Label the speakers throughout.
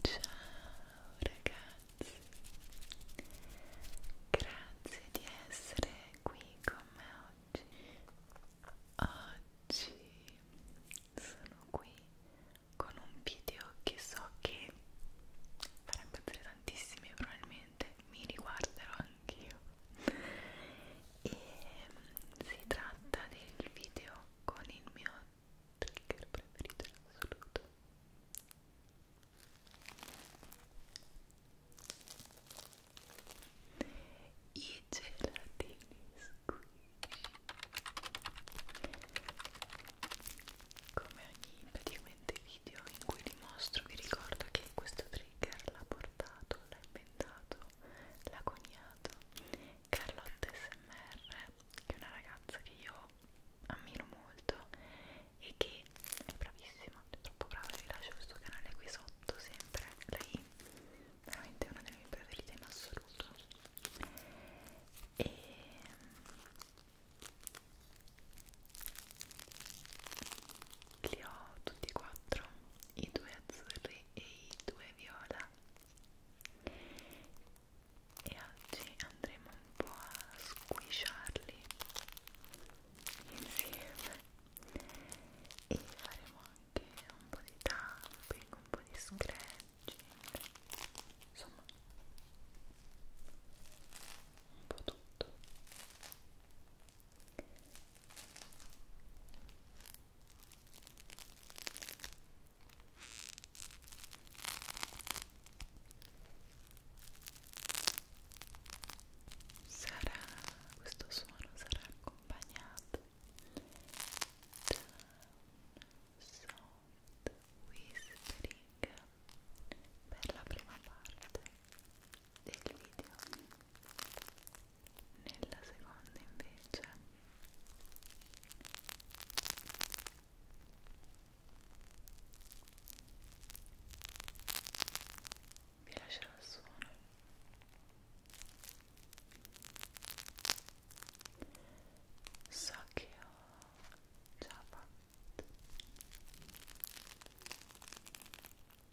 Speaker 1: Ciao ragazzi, grazie di essere qui con me oggi. Oggi sono qui con un video che so che farà impazzire tantissimi probabilmente mi riguarderò anch'io e mm, si tratta del video con il mio trigger preferito in assoluto i gelatini squishy come ogni praticamente dei video in cui vi mostro vi ricordo che questo trigger l'ha portato, l'ha inventato, l'ha coniato Carlotta SMR che è una ragazza che io ammiro molto e che è bravissima, è troppo brava, vi lascio questo canale qui sotto sempre lei veramente è una delle mie preferite in assoluto e li ho tutti e quattro, i due azzurri e i due viola.
Speaker 2: E oggi andremo un po' a squisciarli insieme e faremo anche un po' di tapping, un po' di scratching, insomma un po' tutto. Sarà, questo suono sarà accompagnato da un soft whispering per la prima parte del video nella seconda invece vi lascerò il suono
Speaker 3: so che ho già fatto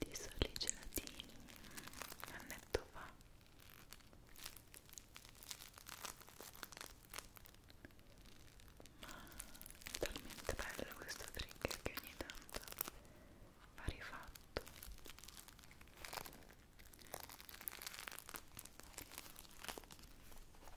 Speaker 3: di soli gelatini un annetto fa ma è talmente bello questo trigger che ogni tanto va rifatto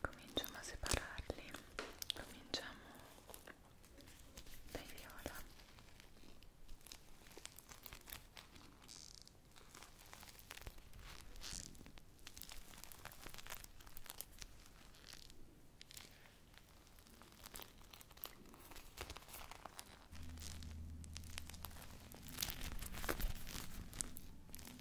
Speaker 3: cominciamo a separarli cominciamo dai viola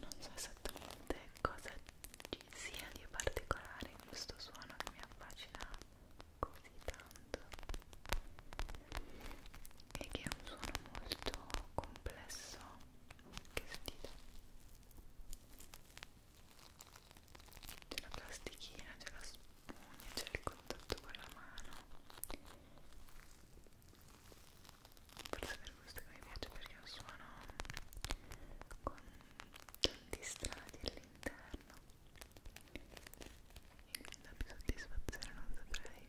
Speaker 4: Non so esattamente cosa sia di particolare in questo suono che mi affascina così tanto e che è un suono molto complesso che sentite c'è la plastichina, c'è la spugna, c'è il contatto con la mano forse per questo che mi piace perché è un suono con tanti strati all'interno e mi dà più soddisfazione, non saprei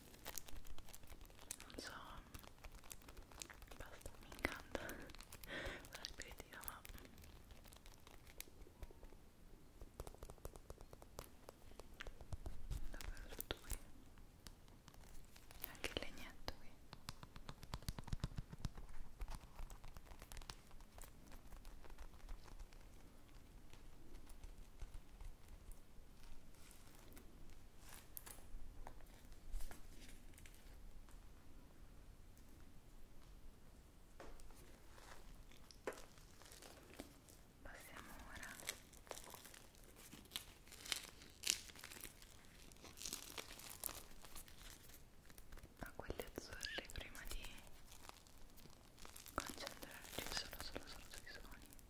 Speaker 4: non so basta mi incanta la ripetitiva ma davvero tutto qui anche il legnetto qui Passiamo ora a quelli azzurri prima di concentrarci solo solo solo sui suoni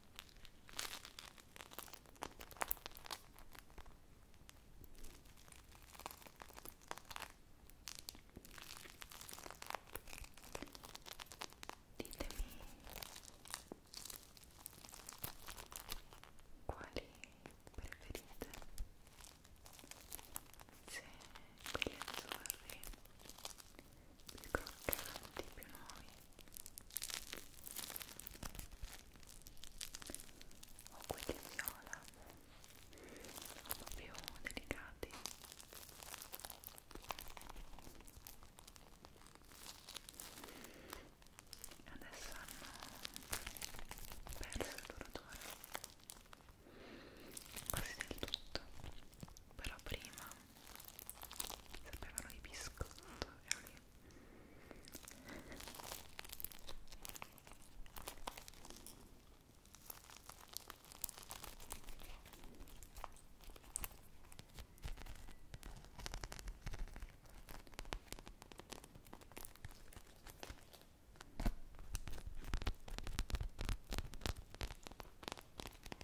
Speaker 4: Ditemi quali preferite se quelli azzurri più croccanti, più nuovi o quelli viola un po' più delicati adesso hanno perso il duratore quasi del tutto però prima sapevano di biscotto e lì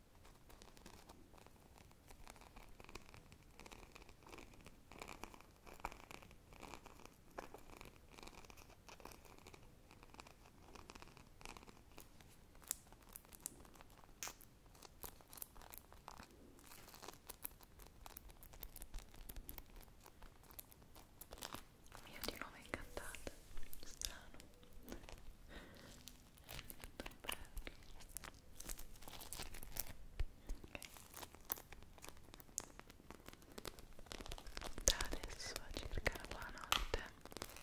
Speaker 4: Mi ha di nuovo incantata, strano da adesso a circa la buonanotte Buonanotte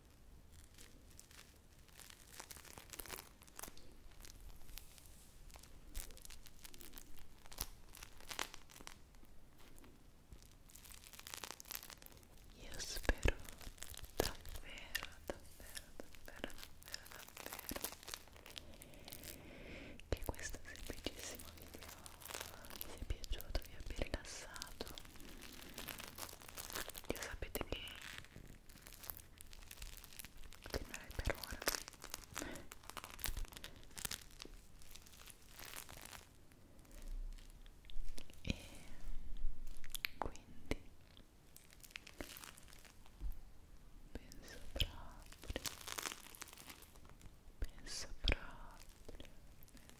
Speaker 5: Io spero davvero, davvero, davvero, davvero, davvero che questo semplicissimo video vi sia piaciuto, vi abbia rilassato io sapete che continuerei per ora e quindi penso proprio penso proprio penso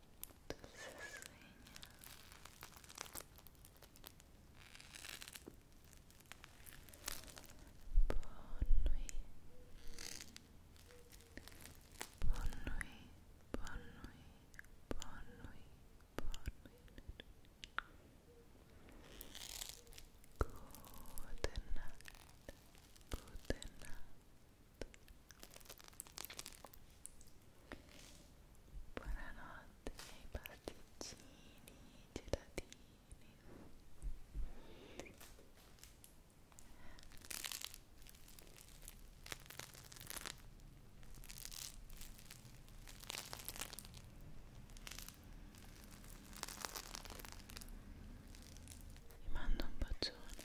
Speaker 5: tu se nuit Bonne nuit, bonne nuit, bonne nuit Good night, good night Buonanotte miei pasticcini, gelatini vi mando un bacione